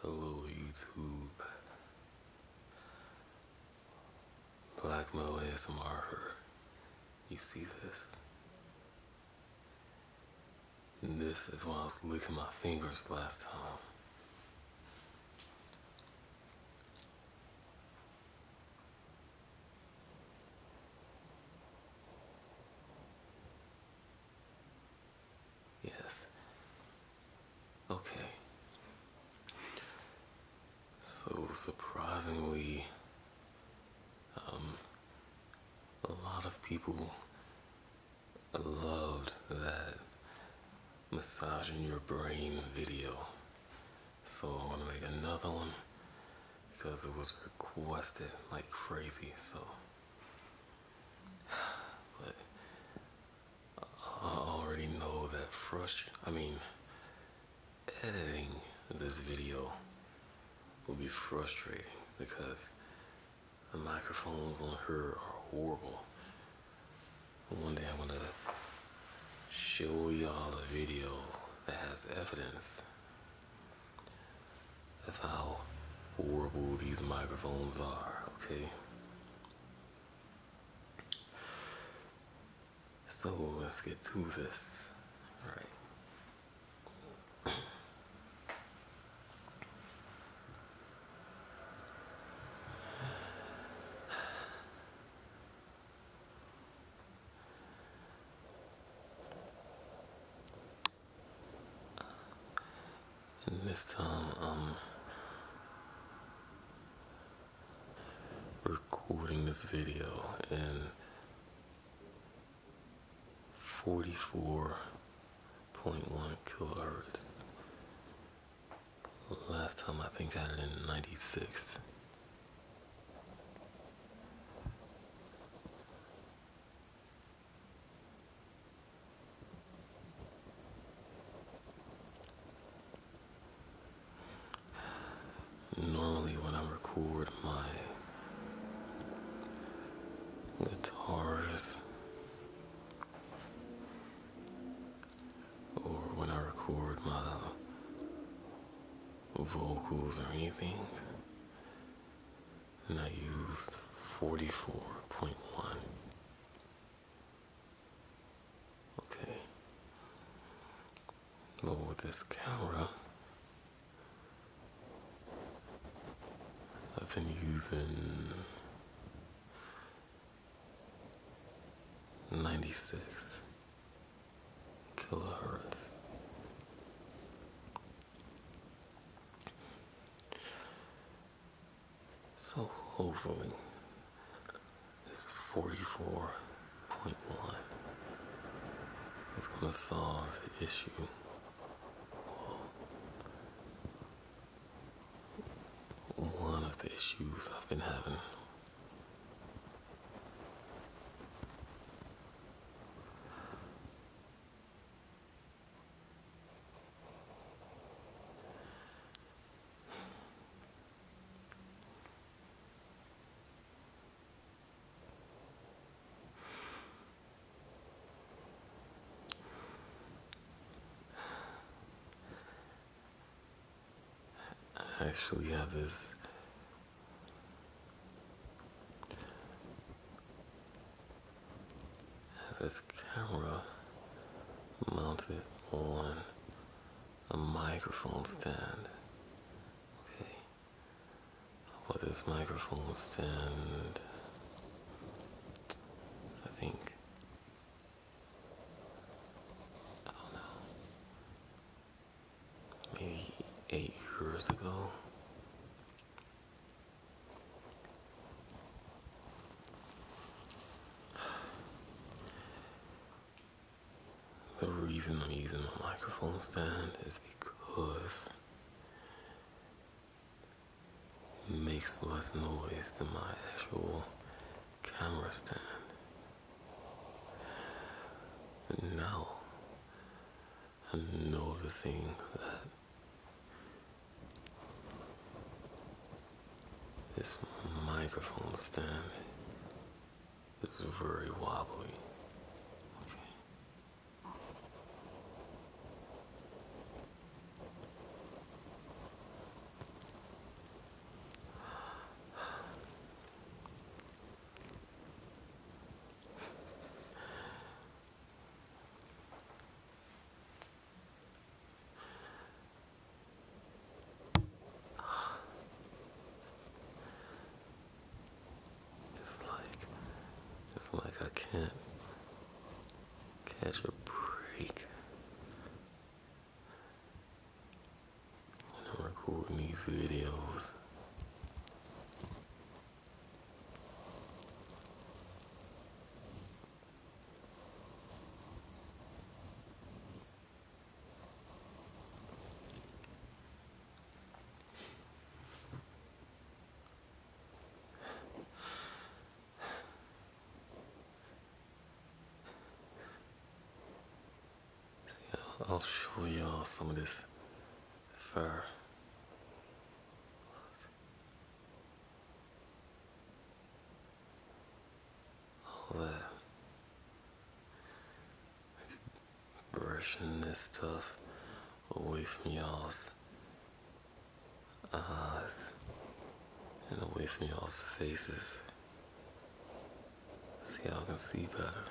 Hello YouTube. Black Metal ASMR her. You see this? This is why I was licking my fingers last time. Yes. Okay. So surprisingly, um, a lot of people loved that massaging your brain video. So i want to make another one because it was requested like crazy. So. But I already know that frustration. I mean, editing this video will be frustrating because the microphones on her are horrible. One day I'm gonna show y'all a video that has evidence that's how horrible these microphones are, okay? So let's get to this. Alright this time I'm um, recording this video in 44.1 kilohertz. Last time I think I had in 96. Normally when I record my guitars or when I record my vocals or anything, and I used 44.1 okay lower this camera I've been using 96 kilohertz so hopefully this 44.1 is going to solve the issue. One of the issues I've been having. I actually have this this camera mounted on a microphone stand. Okay. what is microphone stand I think I don't know maybe eight years ago the reason I'm using the microphone stand is because it makes less noise than my actual camera stand. now and noticing that this microphone stand is very wobbly. It's like, it's like I can't catch a break. I'm recording these videos. I'll show you some of this fur. All that brushing this stuff away from y'all's eyes and away from y'all's faces See how I can see better.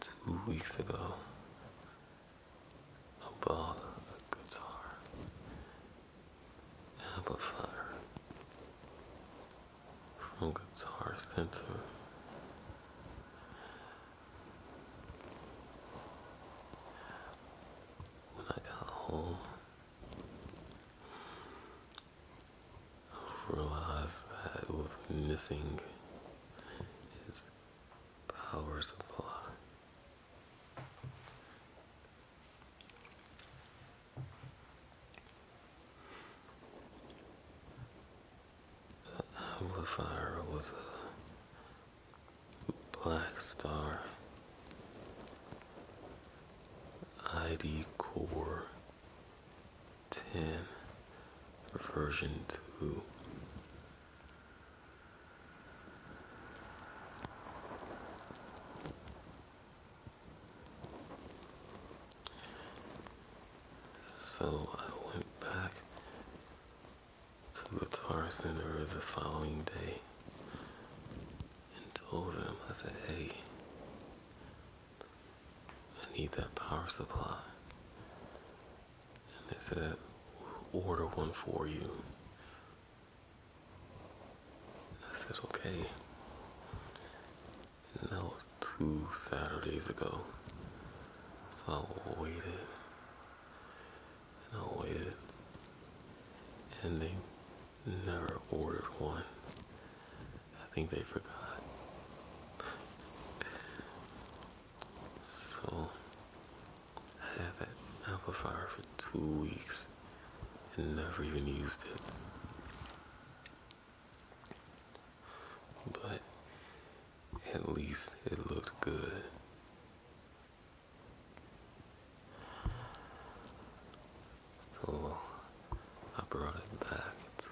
Two weeks ago, I a guitar amplifier from guitar center when I got home realized that was missing its power supply amplifier was a Black Star ID Core 10 version 2. So I went back to the Tar Center the following day and told them, I said, hey, I need that power supply. And they said, order one for you. I said, okay. And that was two Saturdays ago. So I waited. And I waited. And they never ordered one. I think they forgot. so, I had that amplifier for two weeks and never even used it. But at least it looked good. So I brought it back to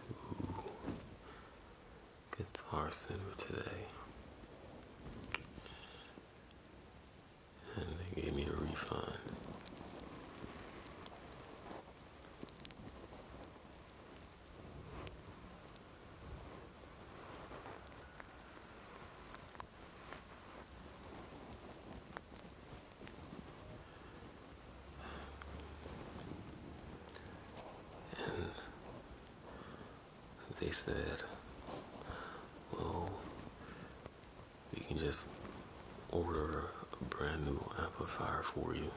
Guitar Center today and they gave me a refund. And they said, well, you can just order a brand new amplifier for you.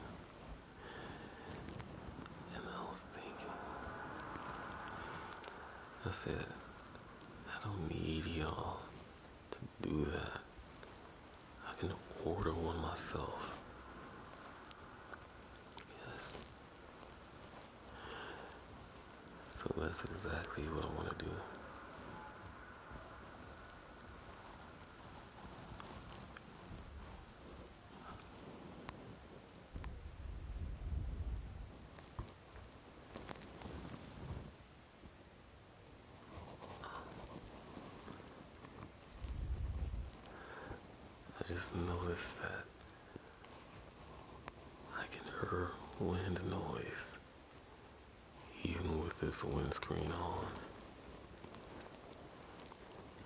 And I was thinking, I said, I don't need y'all to do that. I can order one myself. Yes. So that's exactly what I want to do. I just noticed that I can hear wind noise even with this windscreen on.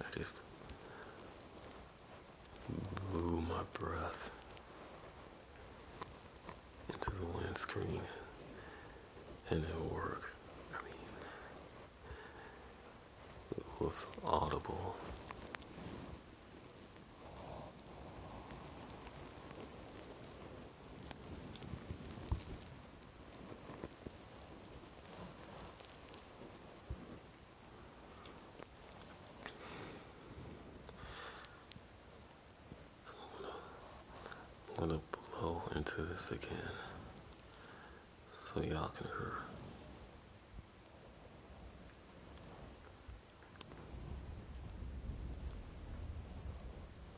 I just blew my breath into the windscreen and it worked. I mean, it was audible. I'm gonna blow into this again so y'all can hear.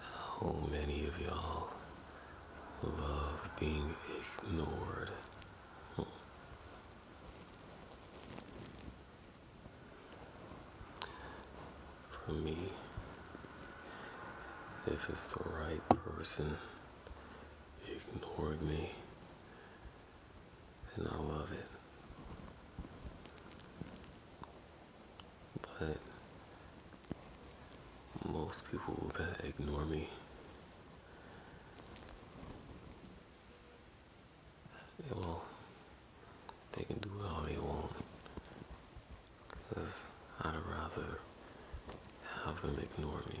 How many of y'all love being ignored? For me, if it's the right person ignoring me, and I love it but most people will ignore me. They will, they can do it all they want. Because I'd rather have them ignore me.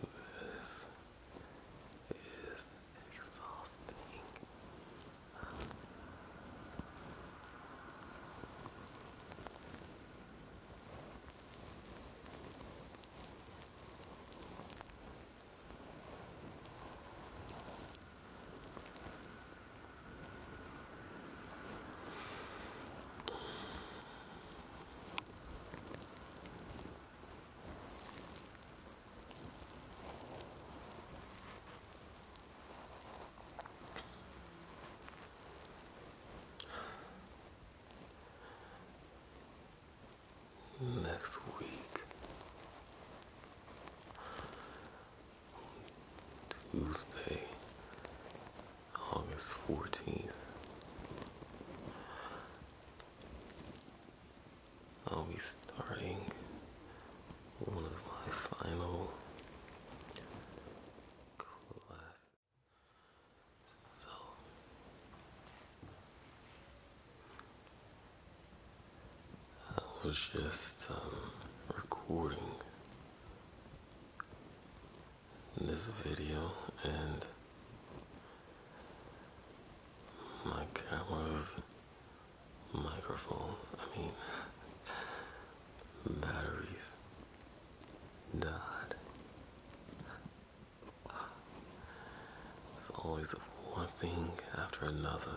This is exhausting. Next week, Tuesday, August 14th. I'll be starting one of my final classes. So, I was just um, recording this video and my camera's microphone, I mean, batteries died. It's always one thing after another.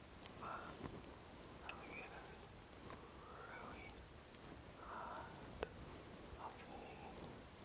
but alligators really hard of me. I'm going to have to end this.